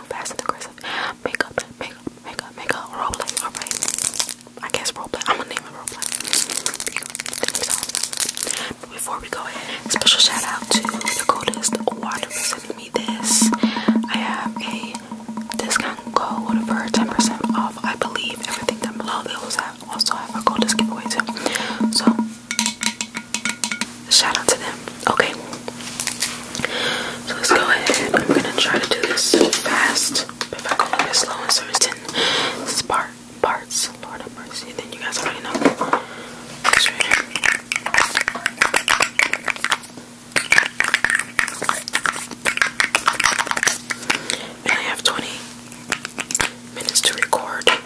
I'm fast and aggressive. Makeup, makeup, makeup, makeup, roleplay, alright. I guess roleplay. I'm gonna name it roleplay. But before we go ahead, special shout out to the coldest water for sending me this. I have a discount code for 10% off, I believe, everything down below. They also have, also have a coldest giveaway too. So Shout out to them. Okay. So let's go ahead. I'm gonna try to do this fast. If I go a little bit slow in certain parts, Lord have mercy, then you guys already know. And I have 20 minutes to record.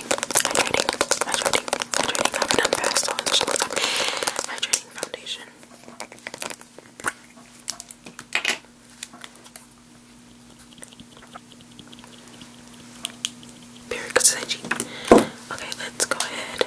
hydrating, hydrating, hydrating, I haven't done fast, so am just Hydrating foundation. Very good cheap. Okay, let's go ahead.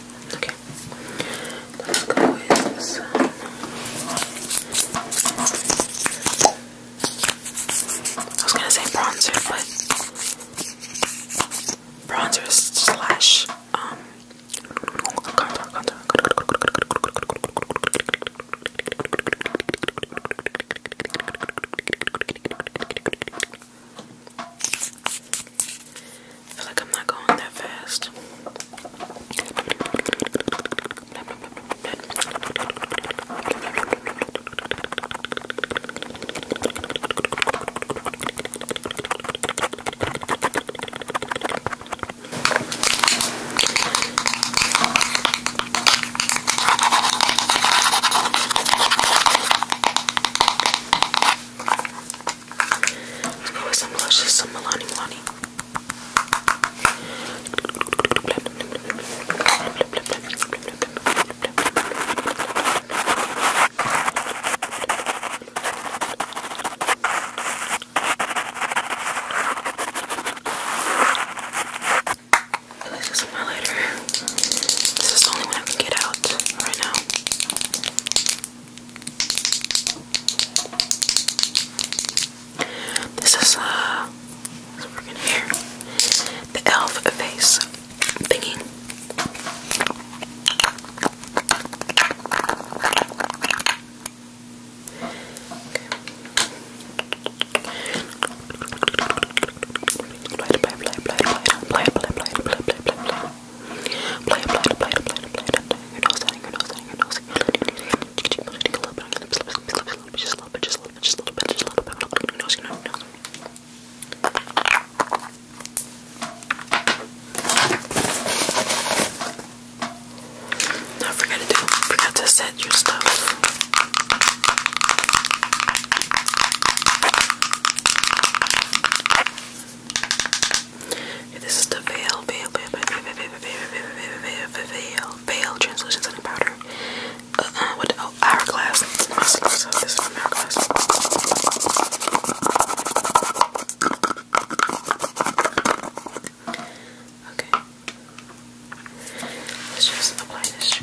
Okay. Let's go with some uh, I was gonna say bronzer, but bronzer slash um contour, contour. I feel like I'm not going that fast. Let's put some blushes, some Milani Milani. Let's get highlighter. This is the only one I can get out right now. This is uh, what's freaking here? The elf face thingy. Play, play, play, play, play, your nose out, your nose out, your nose out. a little bit, I'm just a little bit, just a little bit, just a little bit, just a little bit, just a little bit, just a little bit, just a little bit, don't forget to do, forget to set your stuff this is the veil, veil, veil, veil, veil, veil, veil, veil, veil, veil, veil, veil, translucent setting powder. what? Oh, hourglass. this is hourglass. Okay. Let's just apply this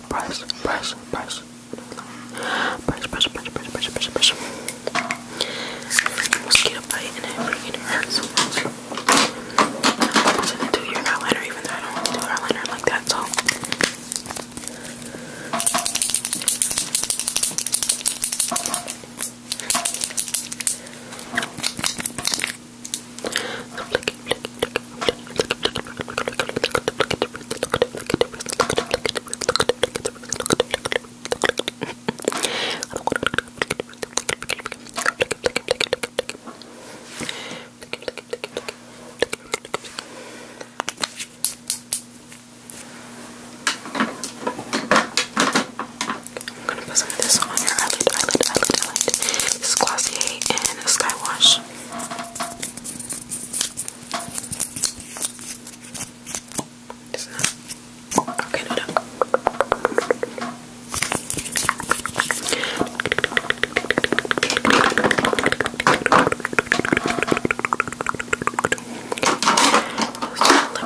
brush, brush, brush. Brush, brush, brush, brush, brush, brush, brush. Freaking mosquito bite and it freaking hurts so much. I'm just gonna do your eyeliner even though I don't want to do eyeliner like that, so. I'm gonna put some of this on your eyelid, eyelid, eyelid, eyelid. This is Glossier and Skywash. It's not. Okay, no, no. Lip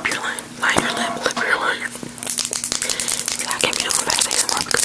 your line, line your lip, lip your line. See, I can't be doing fast ASMR because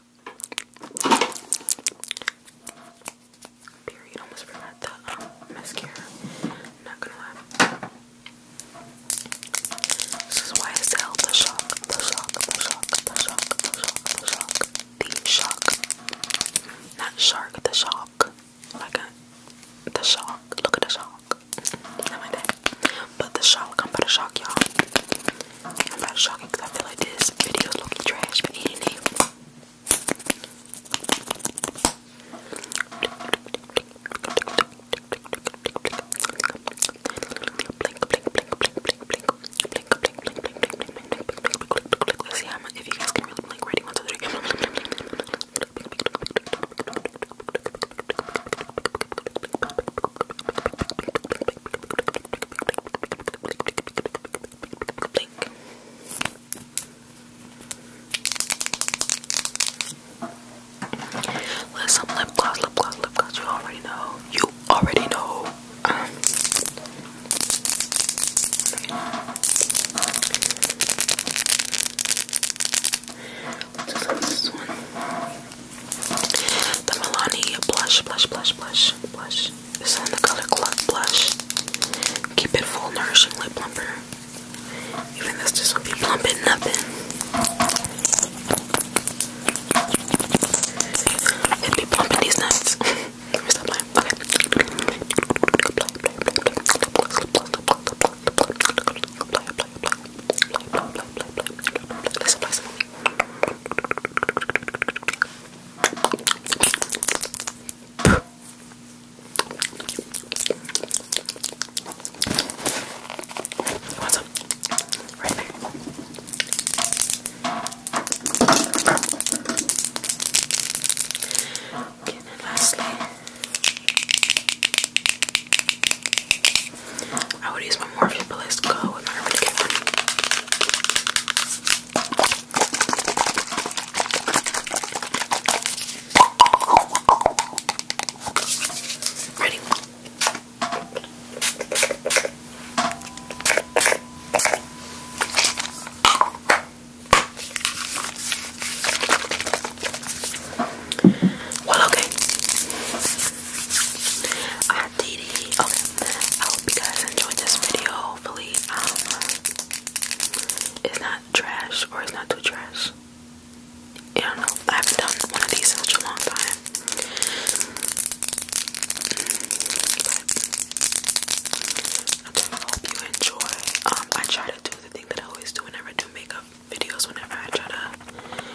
Period. Almost forgot the um, mascara. I'm not gonna lie. This is why I sell the shock, the shock, the shock, the shock, the shock, the shock, the shock. Not shark, the shock. Like a, the shock. Look at the shock. Not like that. But the shock, I'm gonna shock y'all. I'm Kind of shocking because I feel like this video is looking trash, but it ain't. Let's see how much if you guys can really blink ready one two three Blink. some lip gloss, lip gloss, lip gloss. You already know. You already know. Um, this one. The Milani blush, blush, blush, blush, blush. This is in the color Club Blush. Keep it full, nourishing lip plumper. Even this just will be plumping nothing. It'd be plumping these nuts. Let me stop playing. Okay. Let's apply some What's up? Right there. Okay, and then lastly. I would use my Morphe, but let go. I'm not to get Ready? Well, okay. I did Okay. I hope you guys enjoyed this video. Hopefully, um, it's not trash or it's not too trash. I don't know. I haven't done one of these in such a long time. But I hope you enjoy. Um, I try to do the thing that I always do whenever I do makeup videos. Whenever I try to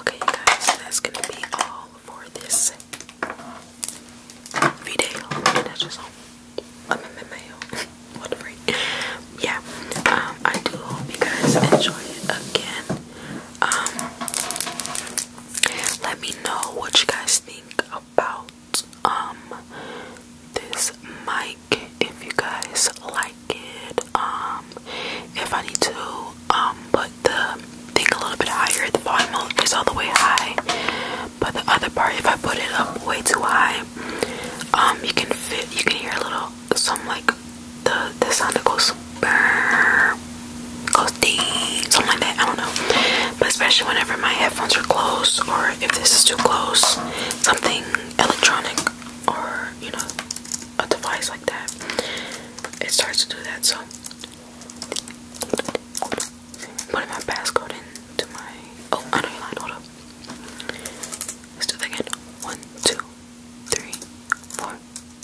Okay, guys, that's gonna be all for this video. And I mail. what a freak. Yeah. Um, I do hope you guys enjoy it again. Um, let me know what you guys think about um this my if you guys like it. Um, if I need to um put the thing a little bit higher, the volume is all the way high. But the other part, if I put it up way too high, um, you can fit. You can hear a little some like the the sound that goes goes deep, something like that. I don't know. But especially whenever my headphones are closed or if this is too close, something electronic or you know a device like that it starts to do that so putting my passcode into my oh I know you line hold up let's do that again one two three four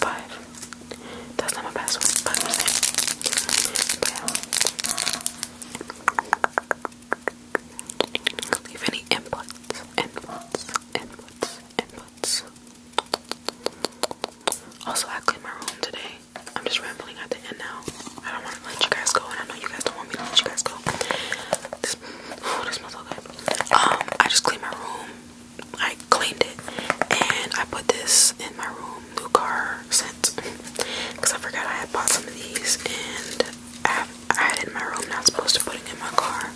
five that's not my password Leave any inputs, inputs, inputs, inputs. Also, I cleaned my room today. I'm just rambling at the end now. I don't want to let you guys go, and I know you guys don't want me to let you guys go. This, oh, this smells so good. Um, I just cleaned my room. I cleaned it, and I put this in my room, new car scent, because I forgot I had bought some of these, and I had it in my room, not supposed to put it in my car.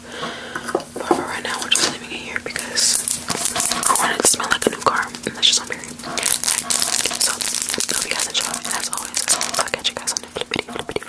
But for right now, we're just leaving it here because I want to smell like a new car. And that's just on period. So, hope you guys enjoy. And as I'll catch you guys on the flippity, flippity,